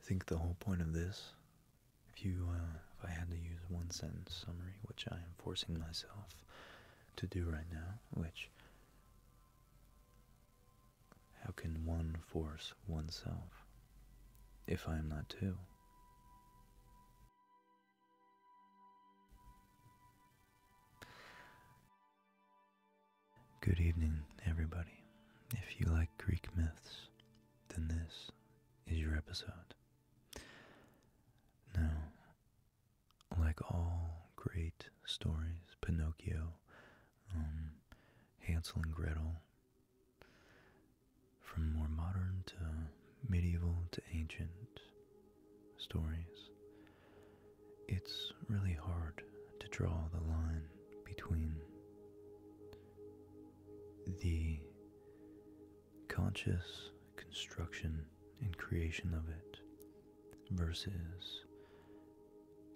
I think the whole point of this, if you, uh, if I had to use one sentence summary, which I am forcing myself to do right now, which how can one force oneself if I am not two? Good evening, everybody. If you like Greek myths, then this is your episode. Now, like all great stories, Pinocchio, um, Hansel and Gretel, from more modern to medieval to ancient stories, it's really hard to draw the line between the conscious construction and creation of it versus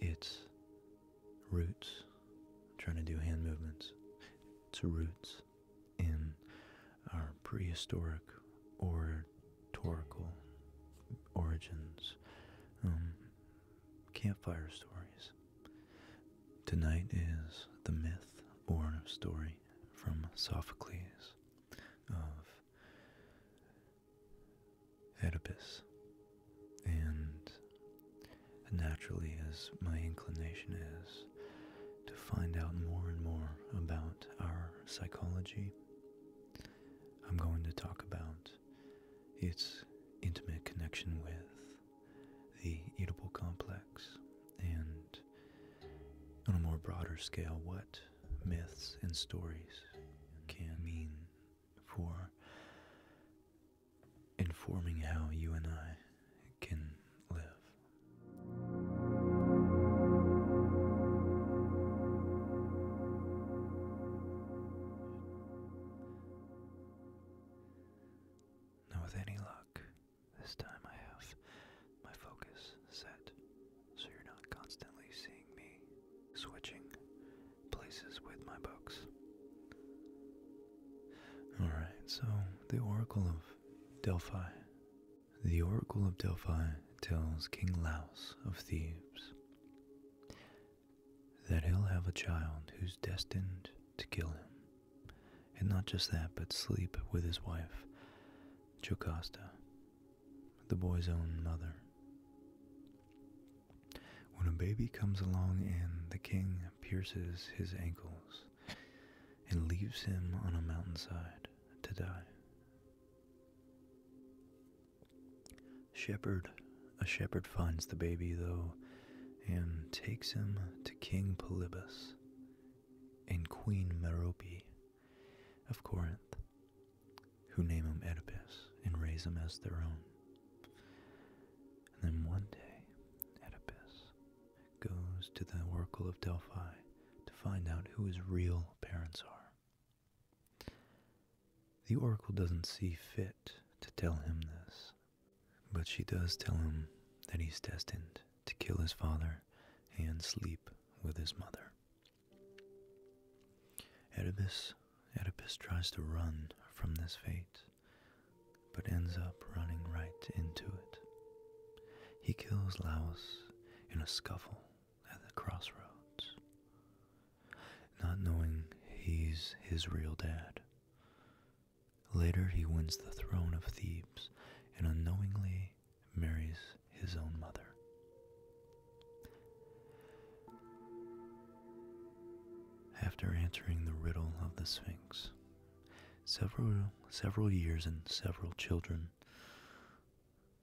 its roots. trying to do hand movements. to roots in our prehistoric or oratorical origins. Um, campfire stories. Tonight is the myth born of story from Sophocles of Oedipus. And naturally, as my inclination is to find out more and more about our psychology, I'm going to talk about its intimate connection with the eatable complex, and on a more broader scale, what myths and stories can mean for informing how you and I can live. Now, with any luck, this time I have my focus set so you're not constantly seeing me switching places with my books. Alright, so the Oracle of Delphi. The Oracle of Delphi tells King Laos of Thebes that he'll have a child who's destined to kill him. And not just that, but sleep with his wife, Jocasta, the boy's own mother. When a baby comes along and the king pierces his ankles and leaves him on a mountainside to die. Shepherd a shepherd finds the baby, though, and takes him to King Polybus and Queen Merope of Corinth, who name him Oedipus and raise him as their own. And then one day, Oedipus goes to the Oracle of Delphi to find out who his real parents are. The Oracle doesn't see fit to tell him this but she does tell him that he's destined to kill his father and sleep with his mother. Oedipus, tries to run from this fate, but ends up running right into it. He kills Laos in a scuffle at the crossroads, not knowing he's his real dad. Later, he wins the throne of Thebes and unknowingly marries his own mother. After answering the riddle of the Sphinx, several, several years and several children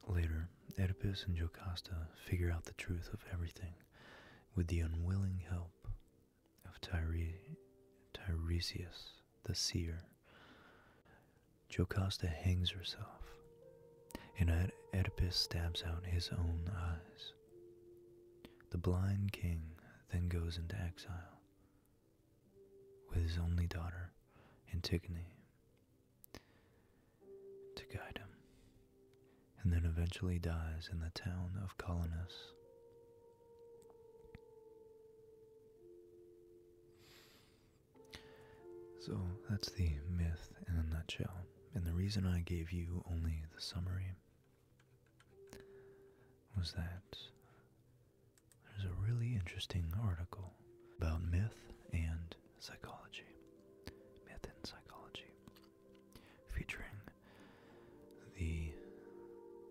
later, Oedipus and Jocasta figure out the truth of everything with the unwilling help of Tyre- Tiresias the seer. Jocasta hangs herself, and Oedipus stabs out his own eyes. The blind king then goes into exile with his only daughter, Antigone, to guide him, and then eventually dies in the town of Colonus. So that's the myth in a nutshell. And the reason I gave you only the summary was that there's a really interesting article about myth and psychology. Myth and psychology. Featuring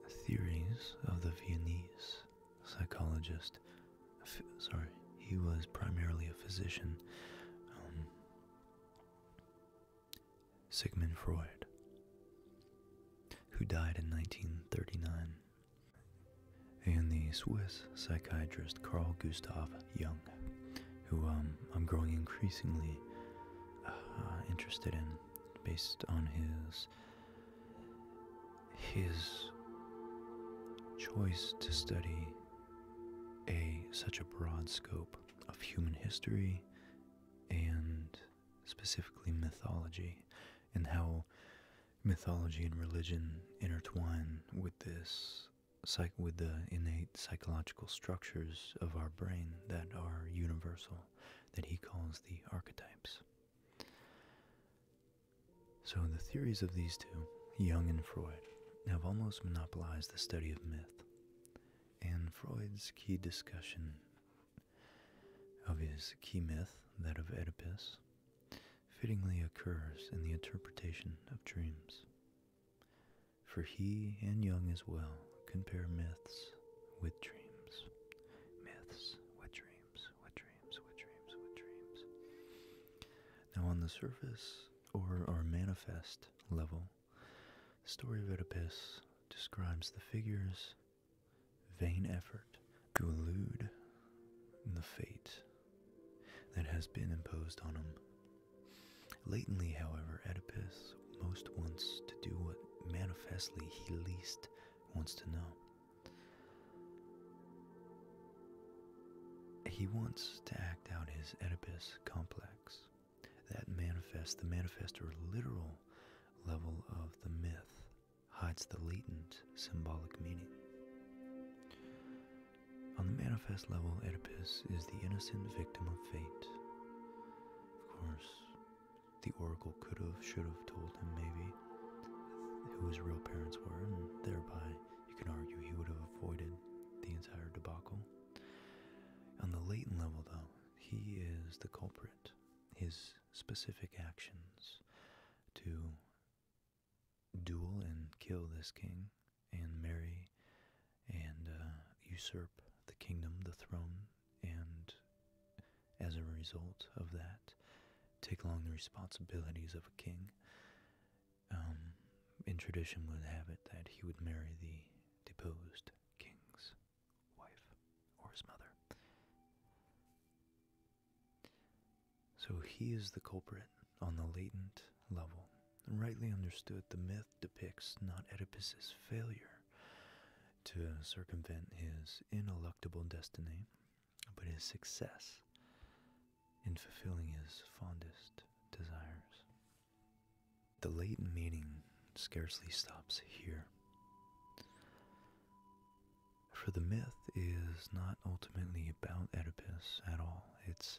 the theories of the Viennese psychologist. sorry, he was primarily a physician, um, Sigmund Freud, who died in 1939, and the Swiss psychiatrist Carl Gustav Jung, who um, I'm growing increasingly uh, interested in based on his his choice to study a such a broad scope of human history and specifically mythology and how mythology and religion intertwine with this with the innate psychological structures of our brain that are universal that he calls the archetypes. So, the theories of these two, Jung and Freud, have almost monopolized the study of myth. And Freud's key discussion of his key myth, that of Oedipus, fittingly occurs in the interpretation of dreams. For he and Jung as well compare myths with dreams. Myths with dreams, with dreams, with dreams, with dreams. Now, on the surface or, our manifest level, the story of Oedipus describes the figure's vain effort to elude the fate that has been imposed on him. Latently, however, Oedipus most wants to do what manifestly he least wants to know. He wants to act out his Oedipus complex, that manifest, the manifest or literal level of the myth hides the latent symbolic meaning. On the manifest level, Oedipus is the innocent victim of fate. Of course, the oracle could have, should have told him maybe who his real parents were, and thereby you can argue he would have avoided the entire debacle. On the latent level, though, he is the culprit. His specific actions to duel and kill this king and marry and uh, usurp the kingdom, the throne and as a result of that, take along the responsibilities of a king. Um, in tradition would have it that he would marry the deposed king's wife or his mother. So he is the culprit on the latent level. Rightly understood, the myth depicts not Oedipus's failure to circumvent his ineluctable destiny, but his success in fulfilling his fondest desires. The latent meaning scarcely stops here. For the myth is not ultimately about Oedipus at all. It's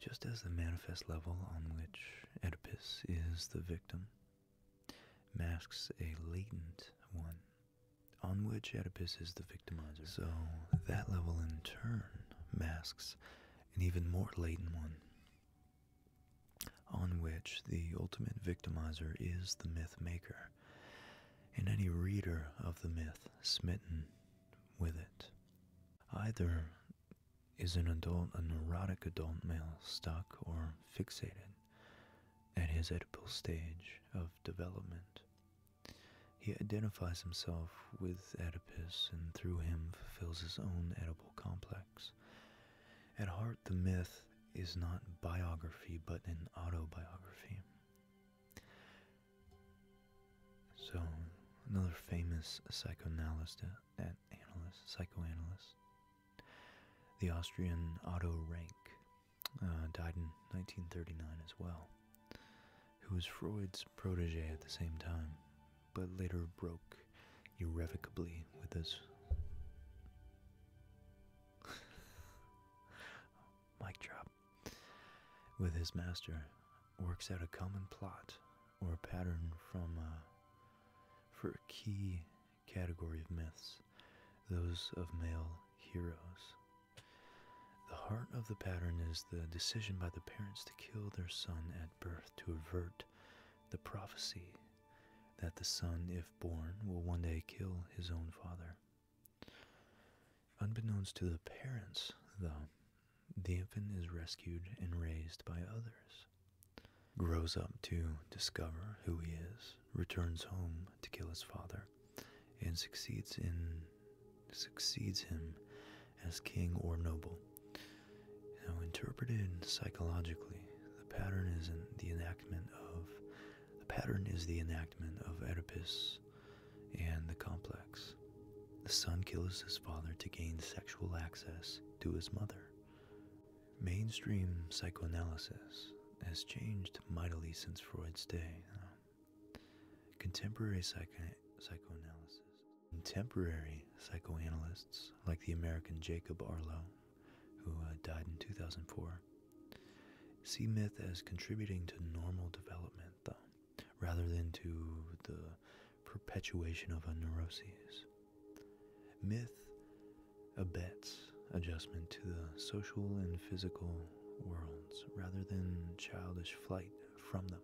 just as the manifest level on which Oedipus is the victim masks a latent one on which Oedipus is the victimizer. So that level in turn masks an even more latent one on which the ultimate victimizer is the myth maker and any reader of the myth smitten with it. Either is an adult a neurotic adult male stuck or fixated at his Oedipal stage of development. He identifies himself with Oedipus and through him fulfills his own Oedipal complex. At heart, the myth is not biography but an autobiography. So, another famous psychoanalyst, uh, analyst, psychoanalyst, the Austrian Otto Rank uh, died in 1939 as well, who was Freud's protege at the same time, but later broke irrevocably with his. Mic drop. With his master, works out a common plot or pattern from uh, for a key category of myths, those of male heroes. The heart of the pattern is the decision by the parents to kill their son at birth to avert the prophecy that the son, if born, will one day kill his own father. Unbeknownst to the parents, though, the infant is rescued and raised by others grows up to discover who he is, returns home to kill his father, and succeeds in succeeds him as king or noble. Now interpreted psychologically, the pattern is the enactment of the pattern is the enactment of Oedipus and the complex. The son kills his father to gain sexual access to his mother. Mainstream psychoanalysis has changed mightily since Freud's day. Contemporary psychoanalysis. Contemporary psychoanalysts, like the American Jacob Arlow, who uh, died in 2004, see myth as contributing to normal development, rather than to the perpetuation of a neurosis. Myth abets adjustment to the social and physical worlds rather than childish flight from them.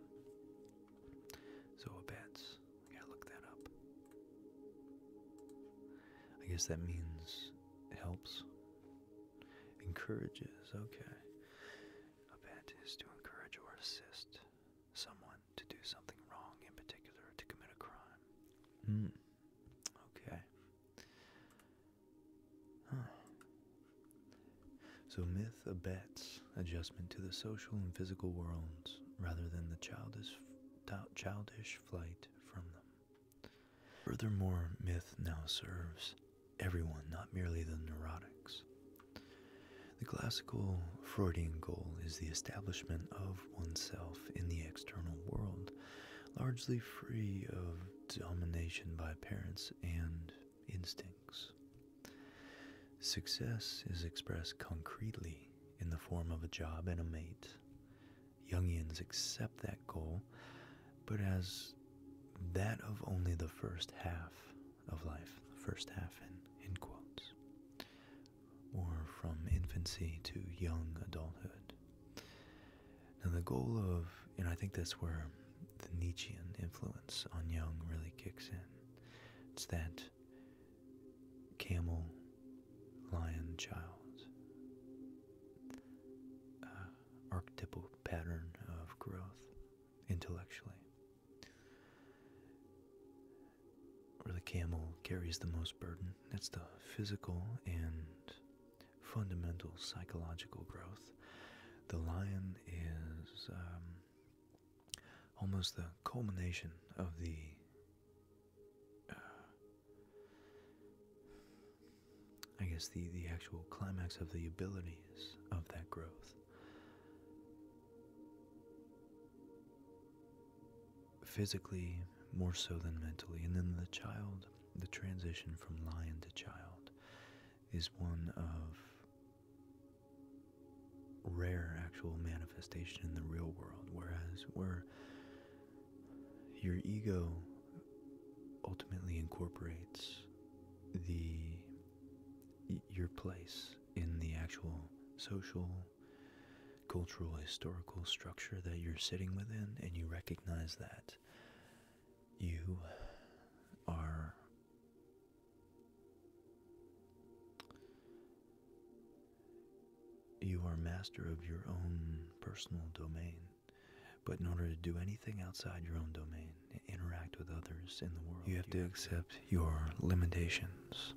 So abets. I gotta look that up. I guess that means helps. Encourages, okay. Abet is to encourage or assist someone to do something wrong, in particular to commit a crime. Hmm. Okay. So, myth abets adjustment to the social and physical worlds rather than the childish, childish flight from them. Furthermore, myth now serves everyone, not merely the neurotics. The classical Freudian goal is the establishment of oneself in the external world, largely free of domination by parents and instincts. Success is expressed concretely in the form of a job and a mate. Jungians accept that goal, but as that of only the first half of life, the first half in quotes or from infancy to young adulthood. Now, the goal of, and I think that's where the Nietzschean influence on Jung really kicks in, it's that camel lion child uh, archetypal pattern of growth intellectually. Where the camel carries the most burden. That's the physical and fundamental psychological growth. The lion is um, almost the culmination of the uh, I guess the, the actual climax of the abilities of that growth physically more so than mentally. And then the child, the transition from lion to child, is one of rare actual manifestation in the real world. Whereas where your ego ultimately incorporates the your place in the actual social cultural historical structure that you're sitting within and you recognize that you are you are master of your own personal domain but in order to do anything outside your own domain interact with others in the world you have to accept your limitations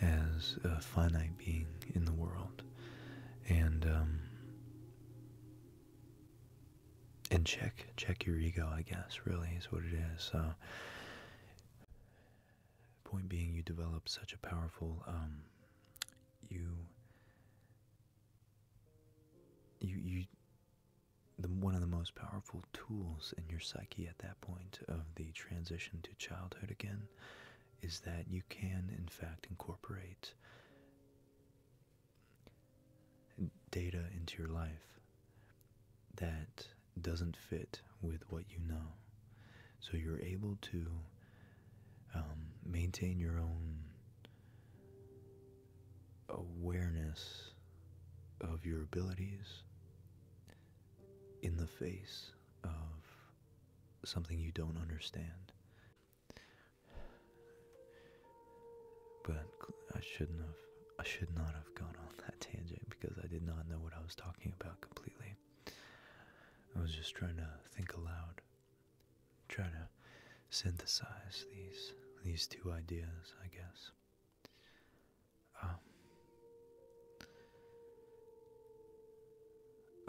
as a finite being in the world and um and check check your ego i guess really is what it is uh, point being you develop such a powerful um, you you you one of the most powerful tools in your psyche at that point of the transition to childhood again is that you can, in fact, incorporate data into your life that doesn't fit with what you know. So you're able to um, maintain your own awareness of your abilities in the face of something you don't understand. But I shouldn't have. I should not have gone on that tangent because I did not know what I was talking about completely. I was just trying to think aloud, trying to synthesize these these two ideas, I guess. Um,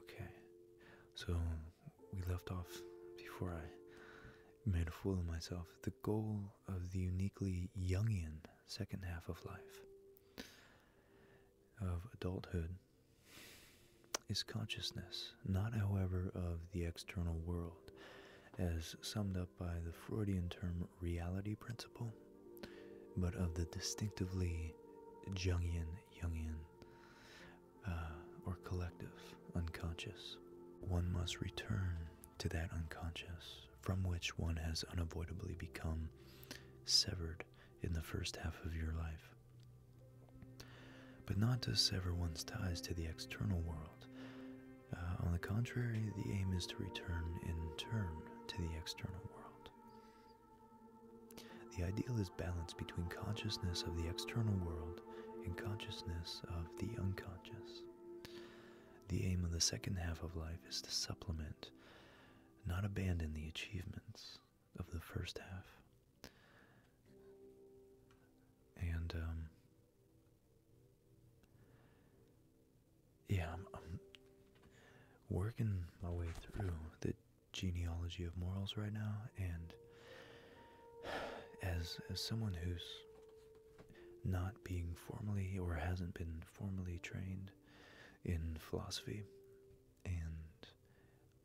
Okay, so we left off before I made a fool of myself. The goal of the uniquely Jungian second half of life, of adulthood, is consciousness, not, however, of the external world, as summed up by the Freudian term reality principle, but of the distinctively Jungian Jungian uh, or collective unconscious. One must return to that unconscious from which one has unavoidably become severed in the first half of your life. But not to sever one's ties to the external world. Uh, on the contrary, the aim is to return in turn to the external world. The ideal is balance between consciousness of the external world and consciousness of the unconscious. The aim of the second half of life is to supplement, not abandon the achievements of the first half. And, um, yeah, I'm, I'm working my way through the genealogy of morals right now, and as as someone who's not being formally or hasn't been formally trained in philosophy, and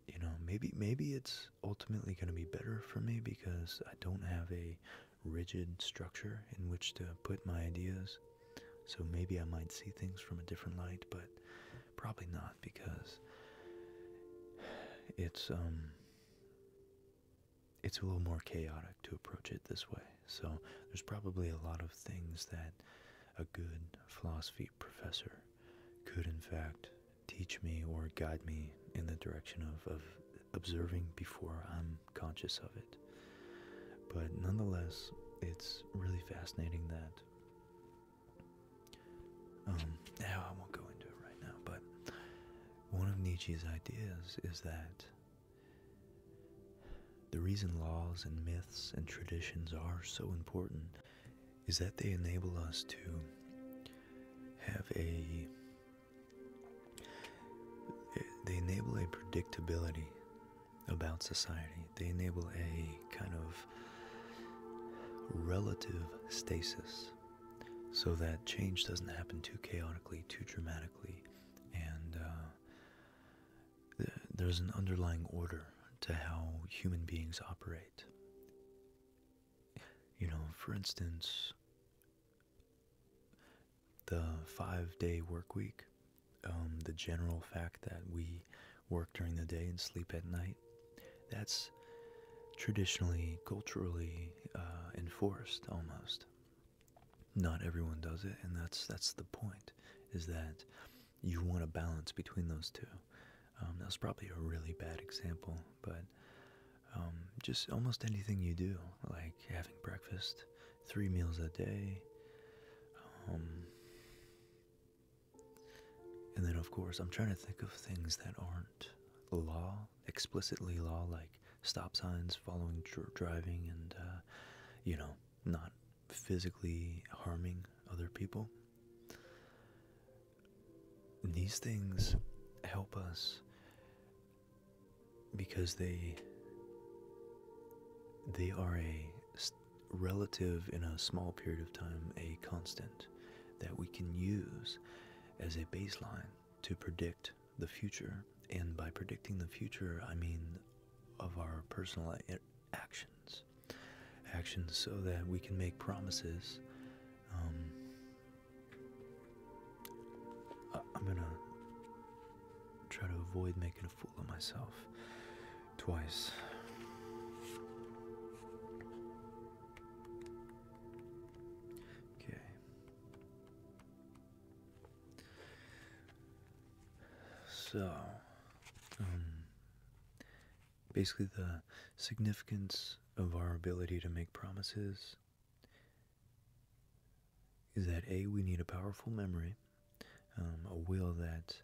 you know maybe maybe it's ultimately going to be better for me because I don't have a rigid structure in which to put my ideas. So maybe I might see things from a different light, but Probably not because it's um it's a little more chaotic to approach it this way. So there's probably a lot of things that a good philosophy professor could in fact teach me or guide me in the direction of, of observing before I'm conscious of it. But nonetheless, it's really fascinating that um, now I won't go into it right now, but one of Nietzsche's ideas is that the reason laws and myths and traditions are so important is that they enable us to have a they enable a predictability about society. They enable a kind of relative stasis so that change doesn't happen too chaotically, too dramatically, and uh, there's an underlying order to how human beings operate. You know, for instance, the five day work week, um, the general fact that we work during the day and sleep at night that's traditionally, culturally uh, enforced almost. Not everyone does it, and that's that's the point. Is that you want a balance between those two? Um, that was probably a really bad example, but um, just almost anything you do, like having breakfast, three meals a day, um, and then, of course, I'm trying to think of things that aren't law, explicitly law, like stop signs, following driving, and, uh, you know, not physically harming other people. these things help us because they they are a relative in a small period of time, a constant that we can use as a baseline to predict the future. And by predicting the future, I mean of our personal actions. Actions so that we can make promises. Um, I'm gonna try to avoid making a fool of myself twice. Okay. So, um, basically, the significance of our ability to make promises is that A, we need a powerful memory, um, a will that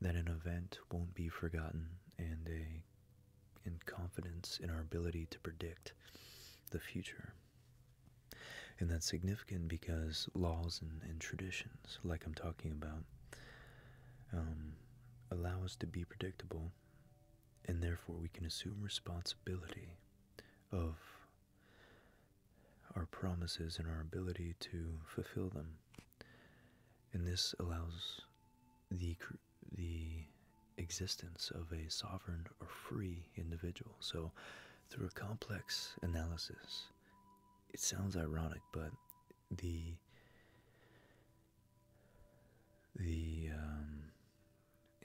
that an event won't be forgotten and a and confidence in our ability to predict the future. And that's significant because laws and, traditions, like I'm talking about, um, allow us to be predictable, and therefore we can assume responsibility of our promises and our ability to fulfill them and this allows the the existence of a sovereign or free individual. So, through a complex analysis, it sounds ironic, but the the um,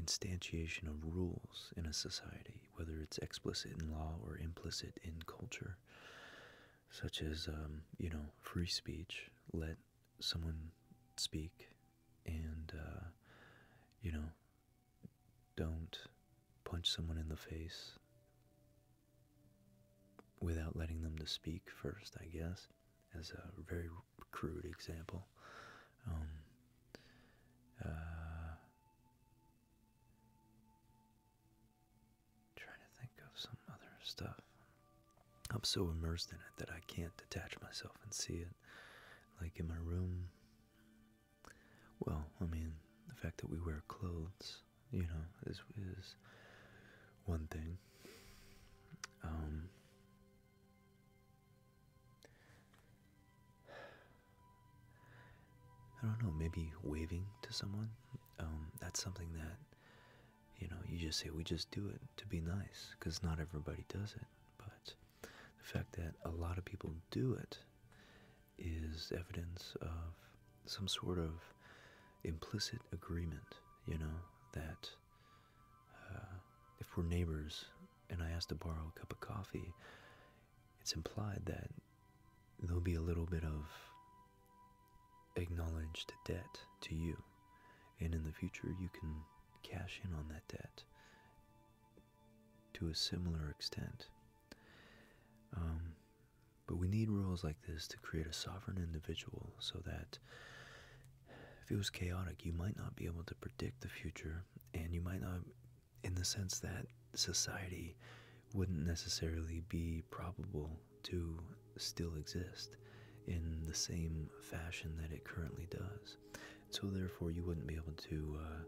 instantiation of rules in a society, whether it's explicit in law or implicit in culture, such as um, you know free speech. Let someone speak, and uh, you know, don't punch someone in the face without letting them to speak first. I guess, as a very crude example. Um, uh, trying to think of some other stuff. I'm so immersed in it that I can't detach myself and see it. Like in my room. Well, I mean, the fact that we wear clothes, you know, is one thing. Um, I don't know, maybe waving to someone. Um, that's something that you know, you just say we just do it to be nice because not everybody does it. But the fact that a lot of people do it is evidence of some sort of implicit agreement, you know, that uh, if we're neighbors and I ask to borrow a cup of coffee, it's implied that there'll be a little bit of acknowledged debt to you. And in the future, you can cash in on that debt to a similar extent. Um, but we need rules like this to create a sovereign individual so that if it was chaotic, you might not be able to predict the future, and you might not, in the sense that society wouldn't necessarily be probable to still exist in the same fashion that it currently does. So, therefore, you wouldn't be able to uh,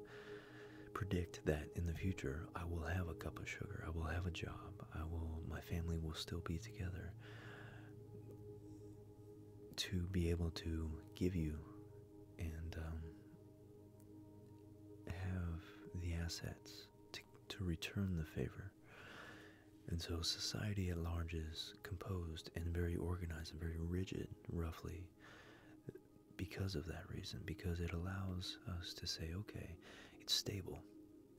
predict that in the future I will have a cup of sugar, I will have a job, I will, my family will still be together. To be able to give you and um, have the assets to, to return the favor and so society at large is composed and very organized and very rigid, roughly, because of that reason, because it allows us to say, okay, it's stable.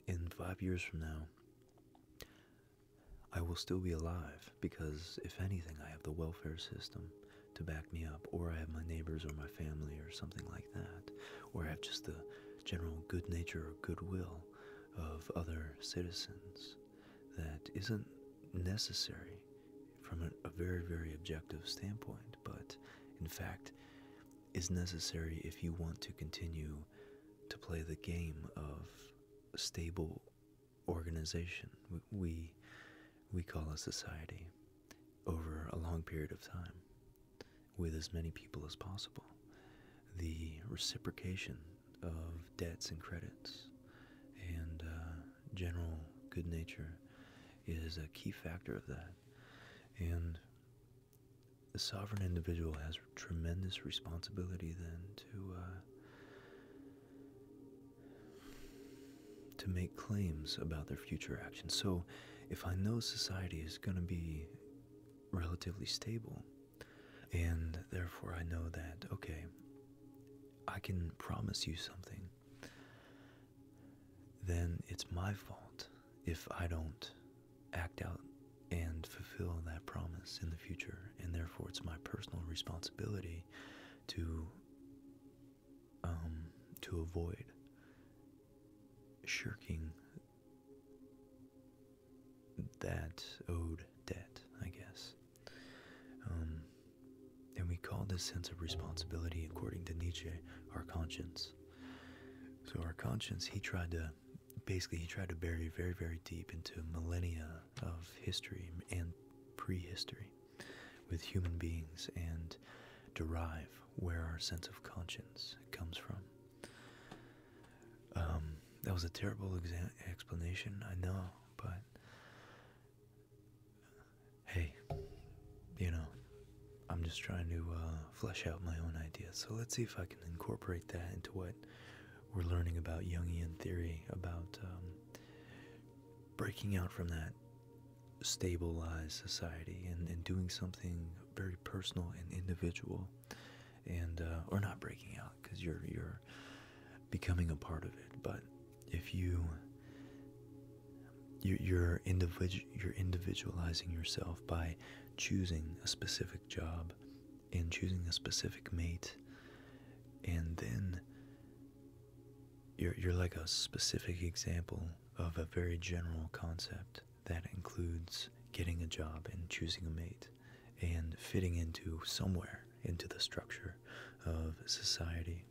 In five years from now, I will still be alive because, if anything, I have the welfare system to back me up, or I have my neighbors or my family or something like that, or I have just the general good nature or goodwill of other citizens that isn't necessary from a, very, very objective standpoint, but in fact is necessary if you want to continue to play the game of stable organization we we call a society over a long period of time with as many people as possible. The reciprocation of debts and credits and uh, general good nature is a key factor of that. And the sovereign individual has tremendous responsibility then to uh, to make claims about their future actions. So, if I know society is going to be relatively stable. And therefore, I know that, okay, I can promise you something. Then it's my fault if I don't act out and fulfill that promise in the future. And therefore, it's my personal responsibility to um, to avoid shirking that owed debt, I guess. Um, and we call this sense of responsibility, according to Nietzsche, our conscience. So our conscience, he tried to basically he tried to bury very very deep into millennia of history and prehistory with human beings and derive where our sense of conscience comes from. Um, that was a terrible explanation, I know, but hey, you know, I'm just trying to uh, flesh out my own ideas. So let's see if I can incorporate that into what we're learning about Jungian theory, about um, breaking out from that stabilized society and doing something very personal and individual and uh, or not breaking out because you're you're becoming a part of it but if you you're individual you're individualizing yourself by choosing a specific job and choosing a specific mate and then you're you're like a specific example of a very general concept that includes getting a job and choosing a mate and fitting into somewhere into the structure of society.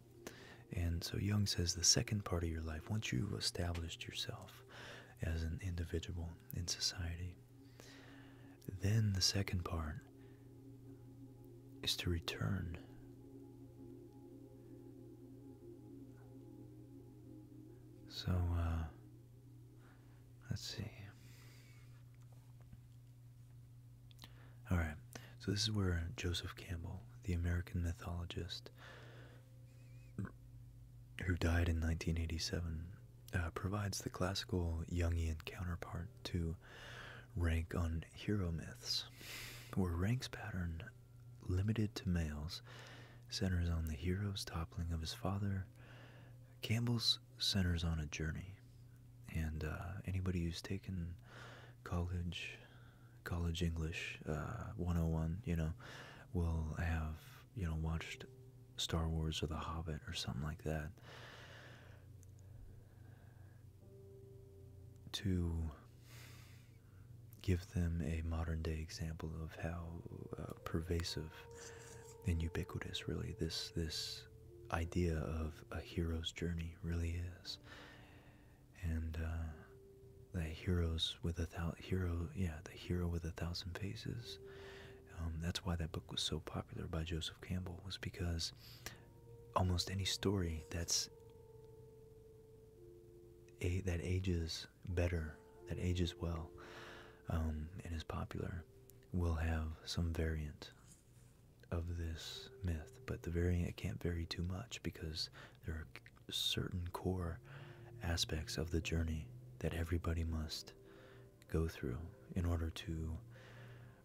And so Jung says the second part of your life, once you've established yourself as an individual in society, then the second part is to return. So, uh, Let's see. All right, so this is where Joseph Campbell, the American mythologist who died in 1987, uh, provides the classical Jungian counterpart to rank on hero myths, where rank's pattern, limited to males, centers on the hero's toppling of his father Campbell's centers on a journey, and uh, anybody who's taken college, college English 101, uh, you know, will have you know watched Star Wars or The Hobbit or something like that. To give them a modern day example of how uh, pervasive and ubiquitous really this this idea of a hero's journey really is and uh, the heroes with a thousand hero yeah the hero with a thousand faces um, that's why that book was so popular by joseph campbell was because almost any story that's a that ages better, that ages well, um, and is popular, will have some variant of this myth. But the variant can't vary too much because there are certain core aspects of the journey that everybody must go through in order to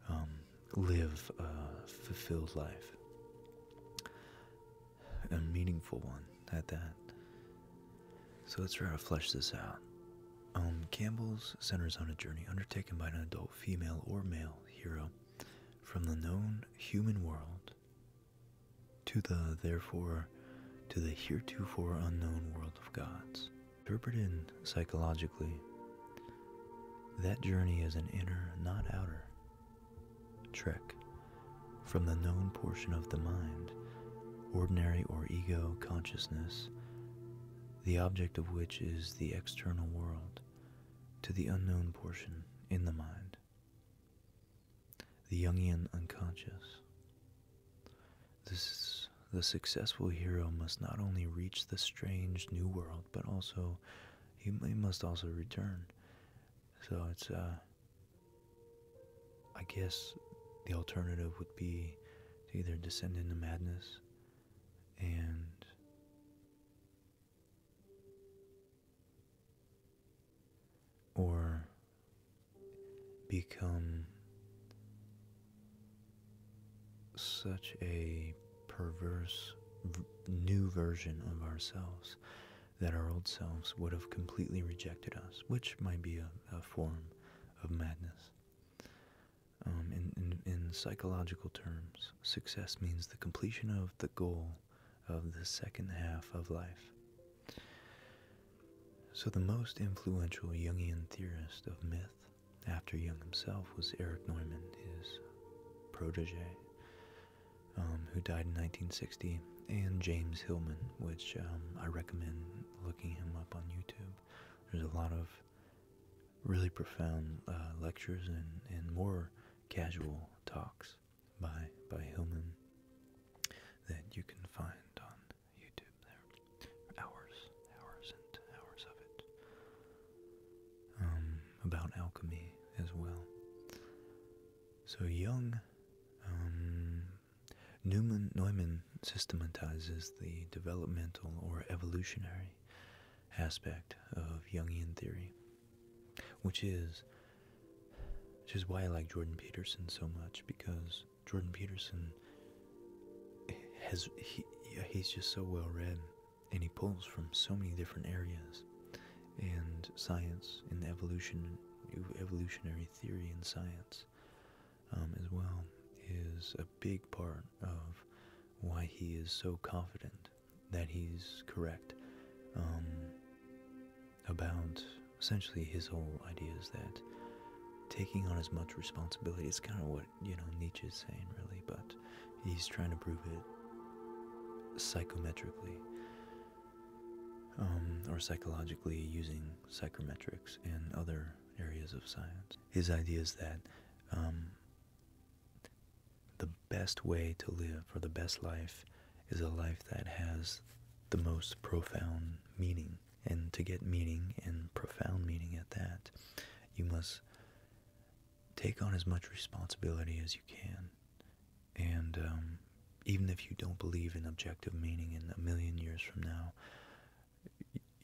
um, live a fulfilled life, a meaningful one at that. So let's try to flesh this out. Um, Campbell's centers on a journey undertaken by an adult female or male hero from the known human world to the therefore to the heretofore unknown world of gods. Interpreted psychologically, that journey is an inner, not outer, trek from the known portion of the mind ordinary or ego consciousness, the object of which is the external world, to the unknown portion in the mind, the Jungian unconscious. This, the successful hero must not only reach the strange new world, but also he, he must also return. So it's uh, I guess the alternative would be to either descend into madness and or become such a perverse new version of ourselves that our old selves would have completely rejected us, which might be a, a form of madness. Um, in, in, psychological terms, success means the completion of the goal of the second half of life. So, the most influential Jungian theorist of myth after Jung himself was Eric Neumann, his protege, um, who died in 1960, and James Hillman, which um, I recommend looking him up on YouTube. There's a lot of really profound uh, lectures and, and more casual talks by by Hillman that you can find on YouTube. There hours, hours and hours of it. Um, about alchemy as well. So young. Um, Newman, Neumann systematizes the developmental or evolutionary aspect of Jungian theory, which is which is why I like Jordan Peterson so much because Jordan Peterson has he he's just so well read and he pulls from so many different areas and science and evolution evolutionary theory and science um, as well is a big part of why he is so confident that he's correct um, about essentially his whole idea is that taking on as much responsibility is kind of what you know Nietzsche is saying really but he's trying to prove it psychometrically um, or psychologically using psychometrics and other areas of science. His idea is that um, the best way to live or the best life is a life that has the most profound meaning. And to get meaning and profound meaning at that, you must take on as much responsibility as you can. And um, even if you don't believe in objective meaning in a million years from now,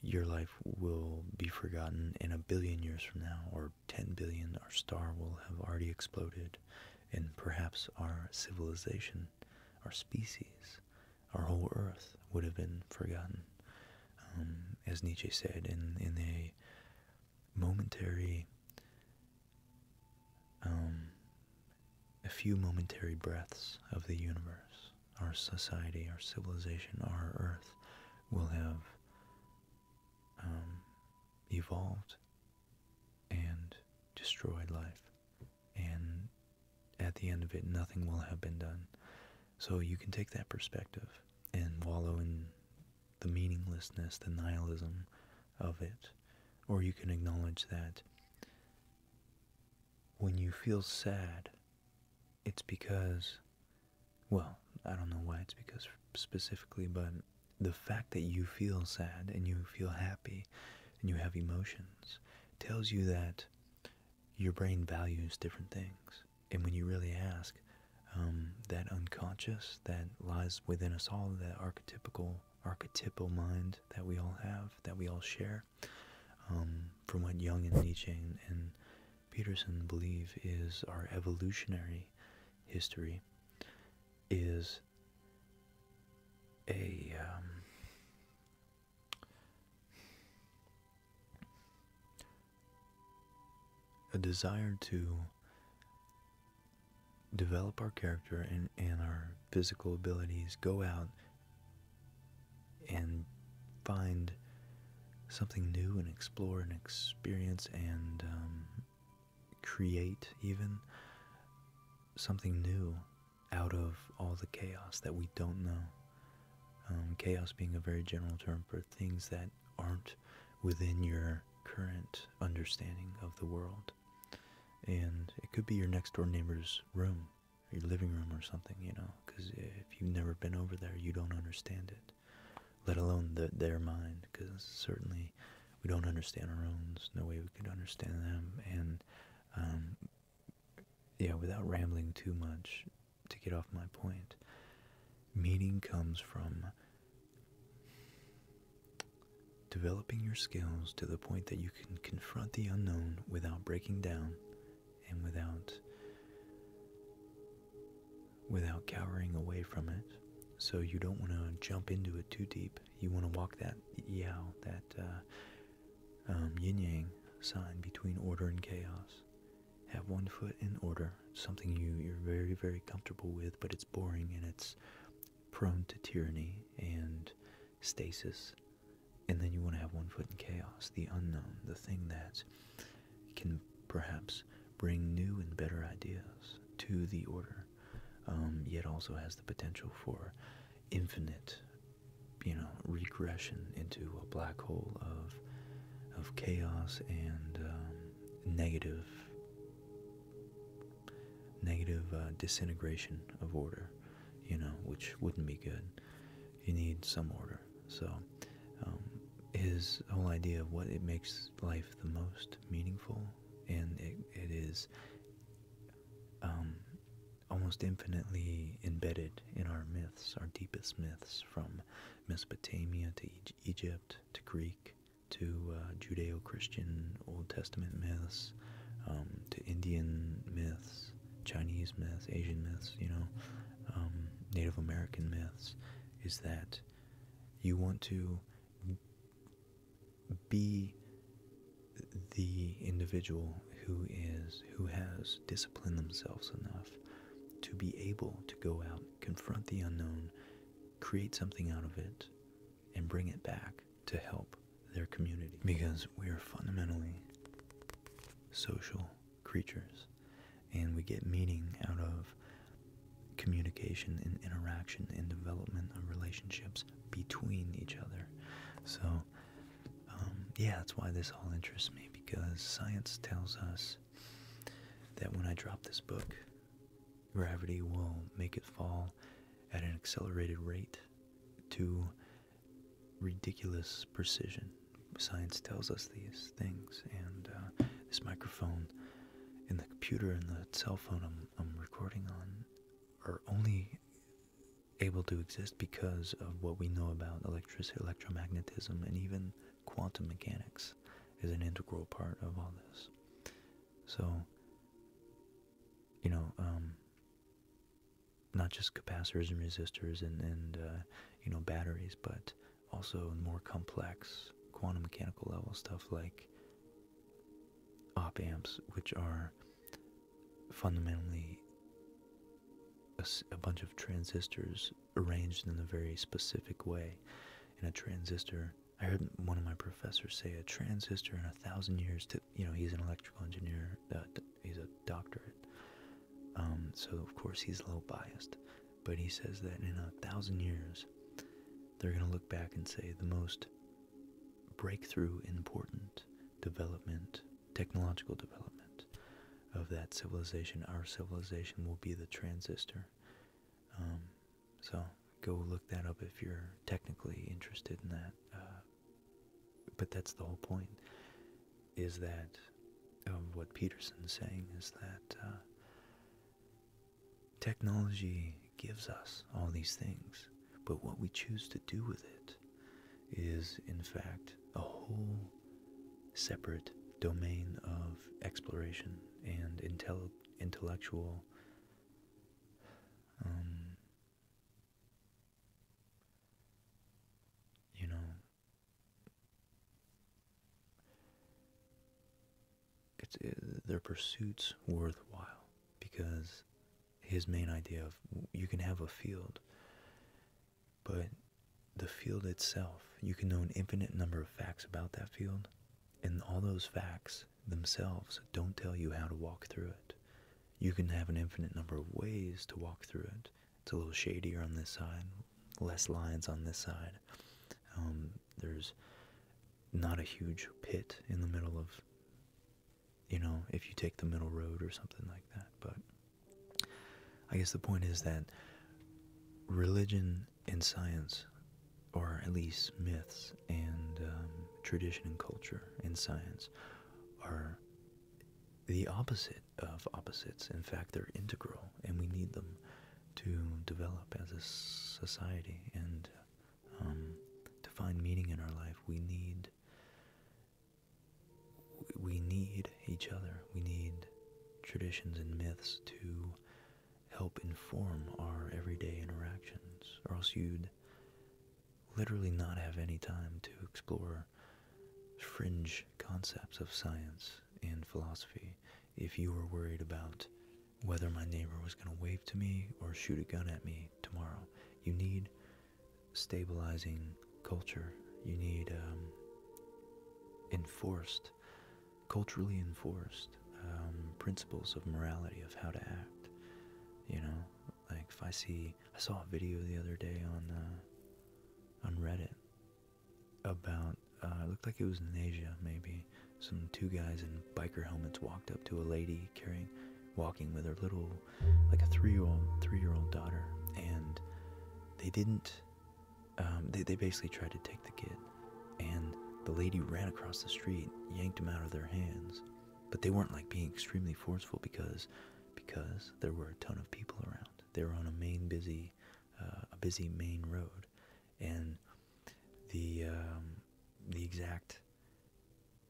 your life will be forgotten in a billion years from now, or 10 billion, our star will have already exploded, and perhaps our civilization, our species, our whole earth would have been forgotten. Um, as Nietzsche said, in, in a momentary, um, a few momentary breaths of the universe our society, our civilization, our earth will have um, evolved and destroyed life. And at the end of it, nothing will have been done. So you can take that perspective and wallow in the meaninglessness, the nihilism of it. Or you can acknowledge that when you feel sad, it's because, well, I don't know why it's because specifically, but the fact that you feel sad and you feel happy and you have emotions tells you that your brain values different things. And when you really ask, um, that unconscious that lies within us all, that archetypical, archetypal mind that we all have, that we all share, um, from what Young and Nietzsche and, Peterson believe is our evolutionary history is a um, a desire to develop our character and, and our physical abilities, go out and find something new and explore and experience and um, create even something new out of all the chaos that we don't know. Um, chaos being a very general term for things that aren't within your current understanding of the world. And it could be your next door neighbor's room your living room or something, you know, because if you've never been over there, you don't understand it, let alone their mind, because certainly we don't understand our own. no way we could understand them. And, um, yeah, without rambling too much, to get off my point, meaning comes from developing your skills to the point that you can confront the unknown without breaking down and without without cowering away from it. So you don't want to jump into it too deep. You want to walk that yao, that uh, um, yin yang sign between order and chaos. Have one foot in order, something you, you're very, very comfortable with, but it's boring and it's prone to tyranny and stasis, and then you want to have one foot in chaos, the unknown, the thing that can perhaps bring new and better ideas to the order, um, yet also has the potential for infinite, you know, regression into a black hole of of chaos and um, negative negative uh, disintegration of order, you know, which wouldn't be good you need some order. So um, his whole idea of what it makes life the most meaningful, and it is um, almost infinitely embedded in our myths, our deepest myths, from Mesopotamia to Egypt to Greek to uh, Judeo-Christian Old Testament myths um, to Indian myths Chinese myths, Asian myths, you know, um, Native American myths, is that you want to be the individual who is who has disciplined themselves enough to be able to go out, confront the unknown, create something out of it, and bring it back to help their community because we are fundamentally social creatures, and we get meaning out of communication and interaction and development of relationships between each other. So, um, yeah, that's why this all interests me because science tells us that when I drop this book, gravity will make it fall at an accelerated rate to ridiculous precision. Science tells us these things, and uh, this microphone and the computer and the cell phone I'm, recording on are only able to exist because of what we know about electricity, electromagnetism, and even quantum mechanics is an integral part of all this. So, you know, um, not just capacitors and resistors and, and uh, you know batteries, but also more complex quantum mechanical level stuff like op amps, which are fundamentally a, bunch of transistors arranged in a very specific way. In a transistor, I heard one of my professors say, a transistor in a thousand years to, you know, he's an electrical engineer, uh, he's a doctorate. Um, so of course he's a little biased, but he says that in a thousand years, they're going to look back and say the most breakthrough, important development, technological development of that civilization, our civilization, will be the transistor. Um, so go look that up if you're technically interested in that. Uh, but that's the whole point is that um, what Peterson's saying is that uh, technology gives us all these things, but what we choose to do with it is, in fact, a whole separate domain of exploration and intellectual um, you know it's uh, their pursuits worthwhile because his main idea of you can have a field but the field itself you can know an infinite number of facts about that field and all those facts themselves don't tell you how to walk through it you can have an infinite number of ways to walk through it it's a little shadier on this side, less lines on this side. Um, there's not a huge pit in the middle of, you know, if you take the middle road or something like that. But I guess the point is that religion and science, or at least myths and um, tradition and culture and science, are the opposite of opposites. In fact, they're integral, and we need them to develop as a society and um, to find meaning in our life. We need we need each other. We need traditions and myths to help inform our everyday interactions, or else you'd literally not have any time to explore fringe concepts of science and philosophy. If you were worried about whether my neighbor was going to wave to me or shoot a gun at me tomorrow, you need stabilizing culture. You need um, enforced, culturally enforced um, principles of morality of how to act. You know, like if I see, I saw a video the other day on uh, on Reddit about uh, it looked like it was in Asia, maybe. Some two guys in biker helmets walked up to a lady carrying, walking with her little, like a three-year-old, three-year-old daughter, and they didn't. Um, they they basically tried to take the kid, and the lady ran across the street, yanked him out of their hands, but they weren't like being extremely forceful because because there were a ton of people around. They were on a main busy, uh, a busy main road, and the um, the exact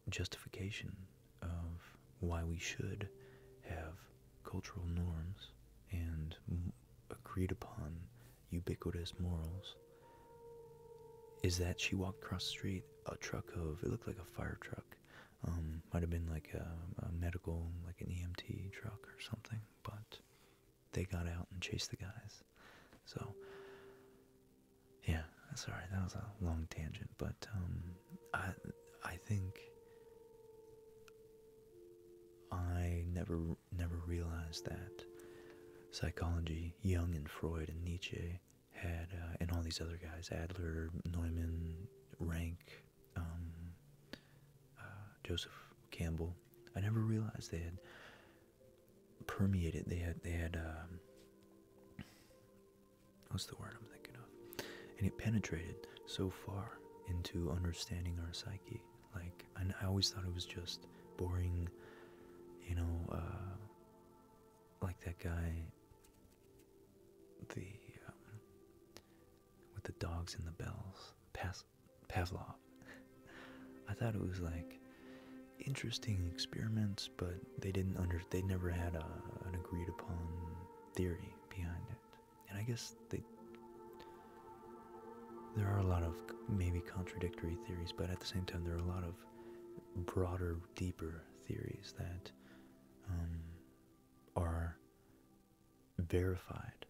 justification of why we should have cultural norms and agreed upon ubiquitous morals is that she walked across the street a truck of it looked like a fire truck um, might have been like a, medical, like an EMT truck or something, but they got out and chased the guys. So, yeah, sorry, that was a long tangent, but um, I, I think I never, never realized that psychology, Jung and Freud and Nietzsche had, uh, and all these other guys, Adler, Neumann, Rank, um, uh, Joseph Campbell. I never realized they had permeated. They had they had um, what's the word I'm thinking of? And it penetrated so far into understanding our psyche. Like I, always thought it was just boring, you know, uh, like that guy, the um, with the dogs and the bells. Pas Pavlov. I thought it was like interesting experiments, but they didn't under they never had an agreed upon theory behind it. And I guess there are a lot of maybe contradictory theories, but at the same time, there are a lot of broader, deeper theories that um, are verified,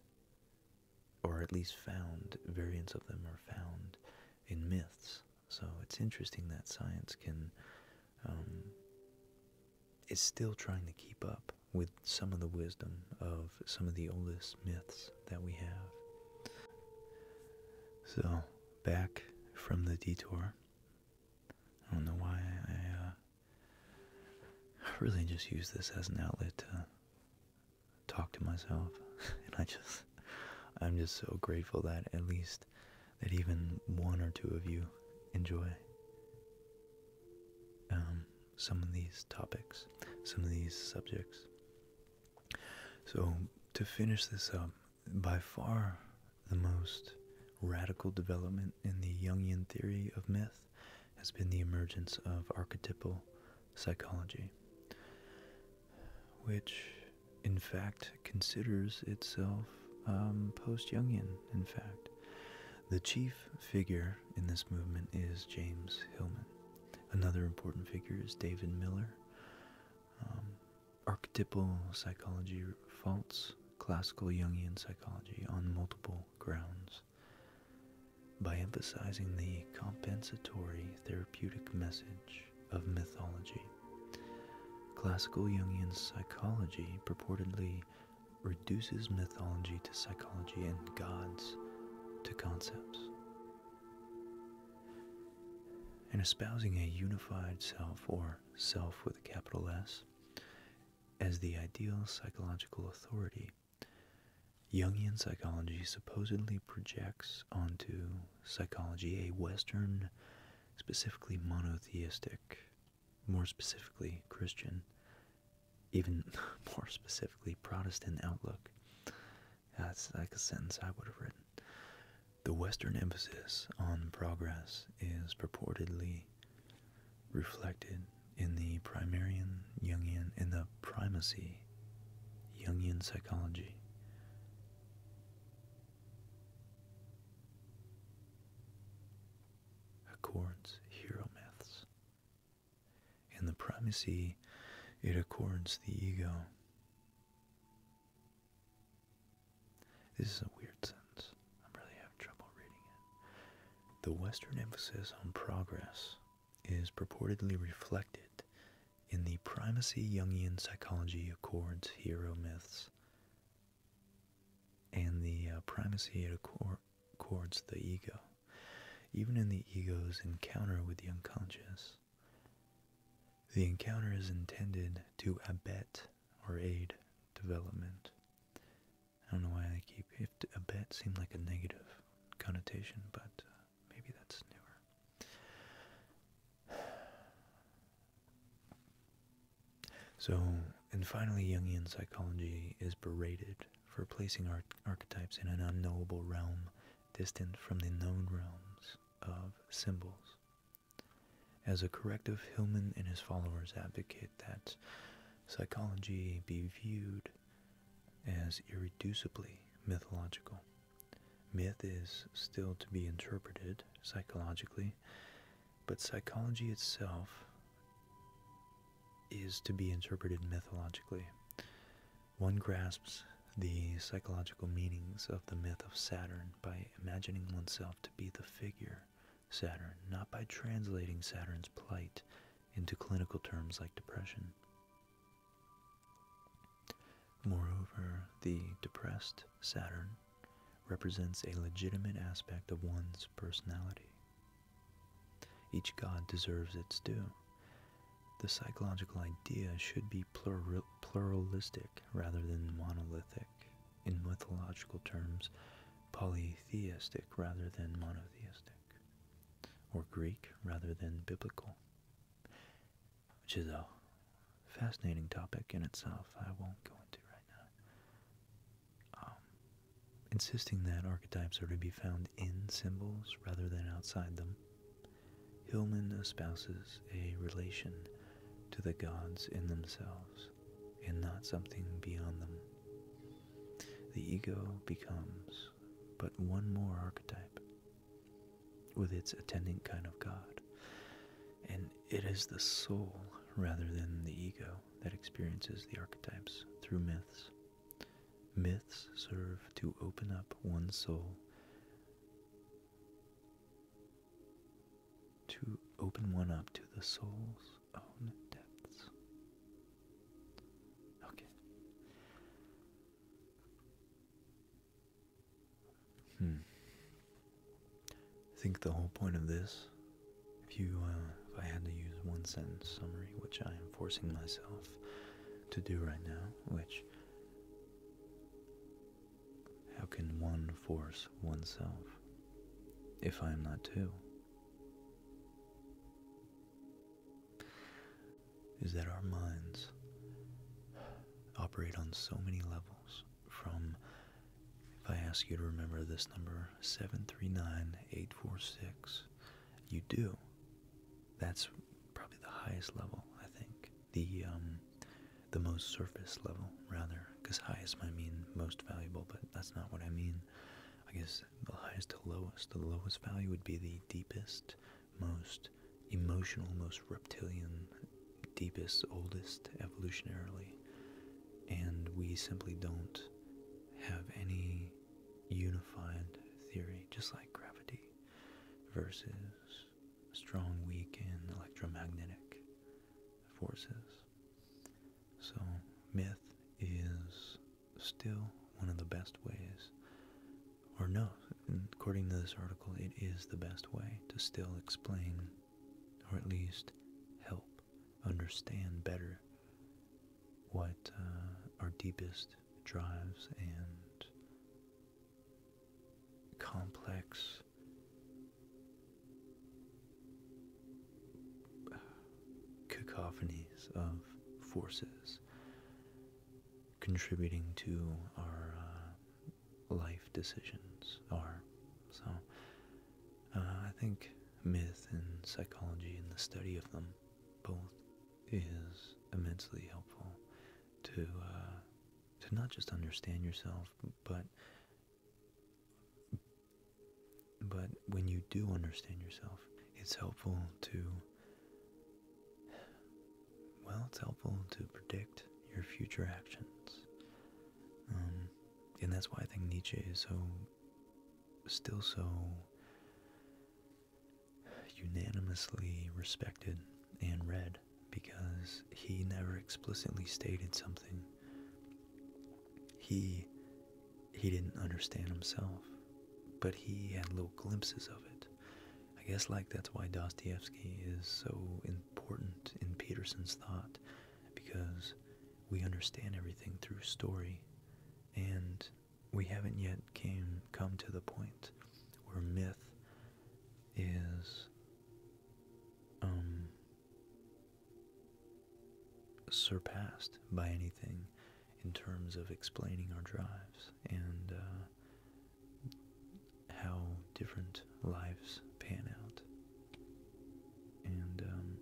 or at least found, variants of them are found in myths. So it's interesting that science can um, is still trying to keep up with some of the wisdom of some of the oldest myths that we have. So back from the detour. I don't know why I uh, I really just use this as an outlet to talk to myself. and I just, I'm just so grateful that at least, that even one or two of you enjoy um, some of these topics, some of these subjects. So, to finish this up, by far the most radical development in the Jungian theory of myth has been the emergence of archetypal psychology, which in fact considers itself um, post Jungian, in fact. The chief figure in this movement is James Hillman. Another important figure is David Miller. Um, archetypal psychology faults classical Jungian psychology on multiple grounds by emphasizing the compensatory therapeutic message of mythology. Classical Jungian psychology purportedly reduces mythology to psychology and gods to concepts. And espousing a unified self, or self with a capital S, as the ideal psychological authority psychology. Jungian psychology supposedly projects onto psychology a Western, specifically monotheistic, more specifically Christian, even more specifically Protestant outlook. That's like a sentence I would have written. The Western emphasis on progress is purportedly reflected in the primarian Jungian in the primacy Jungian psychology. Accords hero myths. In the primacy, it accords the ego. This is a weird sentence. I'm really having trouble reading it. The Western emphasis on progress is purportedly reflected in the primacy Jungian psychology accords hero myths and the uh, primacy it accords the ego, even in the ego's encounter with the unconscious. The encounter is intended to abet or aid development. I don't know why I keep if a bet seemed like a negative connotation, but uh, maybe that's newer. So, and finally, Jungian psychology is berated for placing ar archetypes in an unknowable realm distant from the known realms of symbols. As a corrective, Hillman and his followers advocate that psychology be viewed as irreducibly mythological. Myth is still to be interpreted psychologically, but psychology itself is to be interpreted mythologically. One grasps the psychological meanings of the myth of Saturn by imagining oneself to be the figure Saturn, not by translating Saturn's plight into clinical terms like depression. Moreover, the depressed Saturn represents a legitimate aspect of one's personality. Each god deserves its due. The psychological idea should be pluralistic rather than monolithic. In mythological terms, polytheistic rather than monotheistic or Greek rather than biblical, which is a fascinating topic in itself. I won't go into right now. Um, insisting that archetypes are to be found in symbols rather than outside them, Hillman espouses a relation to the gods in themselves and not something beyond them. The ego becomes but one more archetype with its attendant kind of God, and it is the soul rather than the ego that experiences the archetypes through myths. Myths serve to open up one soul to open one up to the soul's own depths. Okay. Hmm. I think the whole point of this, if you, uh, if I had to use one sentence summary, which I am forcing myself to do right now, which how can one force oneself if I am not two? is that our minds operate on so many levels. From, if I ask you to remember this number, 739 846, you do. That's probably the highest level, I think. The, um, the most surface level, rather, because highest might mean most valuable, but that's not what I mean. I guess the highest to lowest. The lowest value would be the deepest, most emotional, most reptilian, deepest, oldest evolutionarily. And we simply don't have any unified theory, just like gravity versus strong, weak, and electromagnetic forces. So, myth is still one of the best ways, or no, according to this article, it is the best way to still explain, or at least help understand better what uh, our deepest drives and complex cacophonies of forces contributing to our uh, life decisions are. So uh, I think myth and psychology and the study of them both is immensely helpful to uh, to not just understand yourself but but when you do understand yourself, it's helpful to. Well, it's helpful to predict your future actions. Um, and that's why I think Nietzsche is so. still so. unanimously respected and read, because he never explicitly stated something. He he didn't understand himself, but he had little glimpses of it. I guess, like, that's why Dostoevsky is so important in Peterson's thought, because we understand everything through story, and we haven't yet came come to the point where myth is um, surpassed by anything in terms of explaining our drives and uh, how different lives pan out. And um,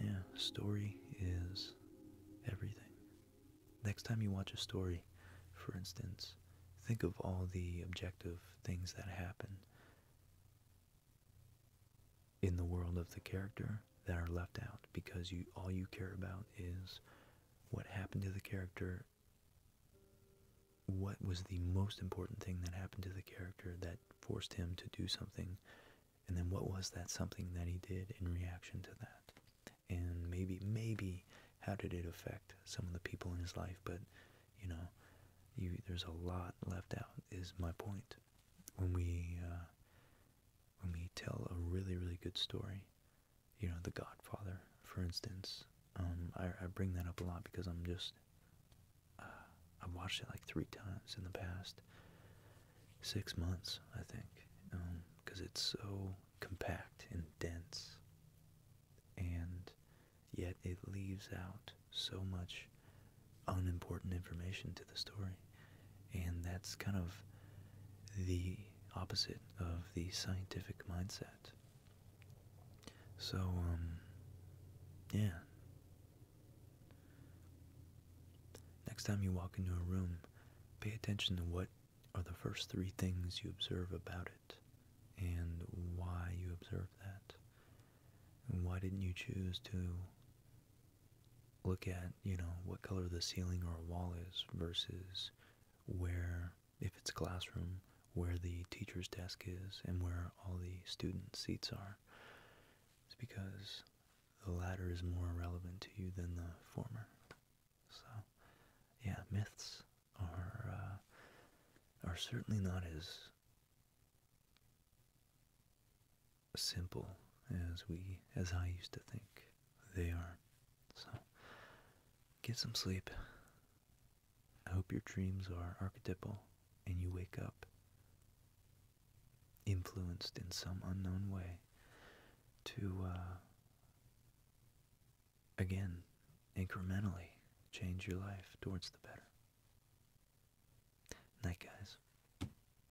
yeah, story is everything. Next time you watch a story, for instance, think of all the objective things that happen in the world of the character that are left out because you all you care about is what happened to the character what was the most important thing that happened to the character that forced him to do something and then what was that something that he did in reaction to that and maybe maybe how did it affect some of the people in his life but you know you there's a lot left out is my point when we uh, when we tell a really really good story, you know, The Godfather, for instance. Um, I, I bring that up a lot because I'm just uh, I've watched it like three times in the past six months, I think, because um, it's so compact and dense, and yet it leaves out so much unimportant information to the story. And that's kind of the opposite of the scientific mindset. So, um, yeah. Next time you walk into a room, pay attention to what are the first three things you observe about it and why you observe that. And why didn't you choose to look at, you know, what color the ceiling or wall is versus where, if it's a classroom, where the teacher's desk is and where all the student seats are. It's because the latter is more relevant to you than the former. So, yeah, myths are uh, are certainly not as simple as we as I used to think they are. So get some sleep. I hope your dreams are archetypal and you wake up influenced in some unknown way to uh, again incrementally change your life towards the better. Night, guys.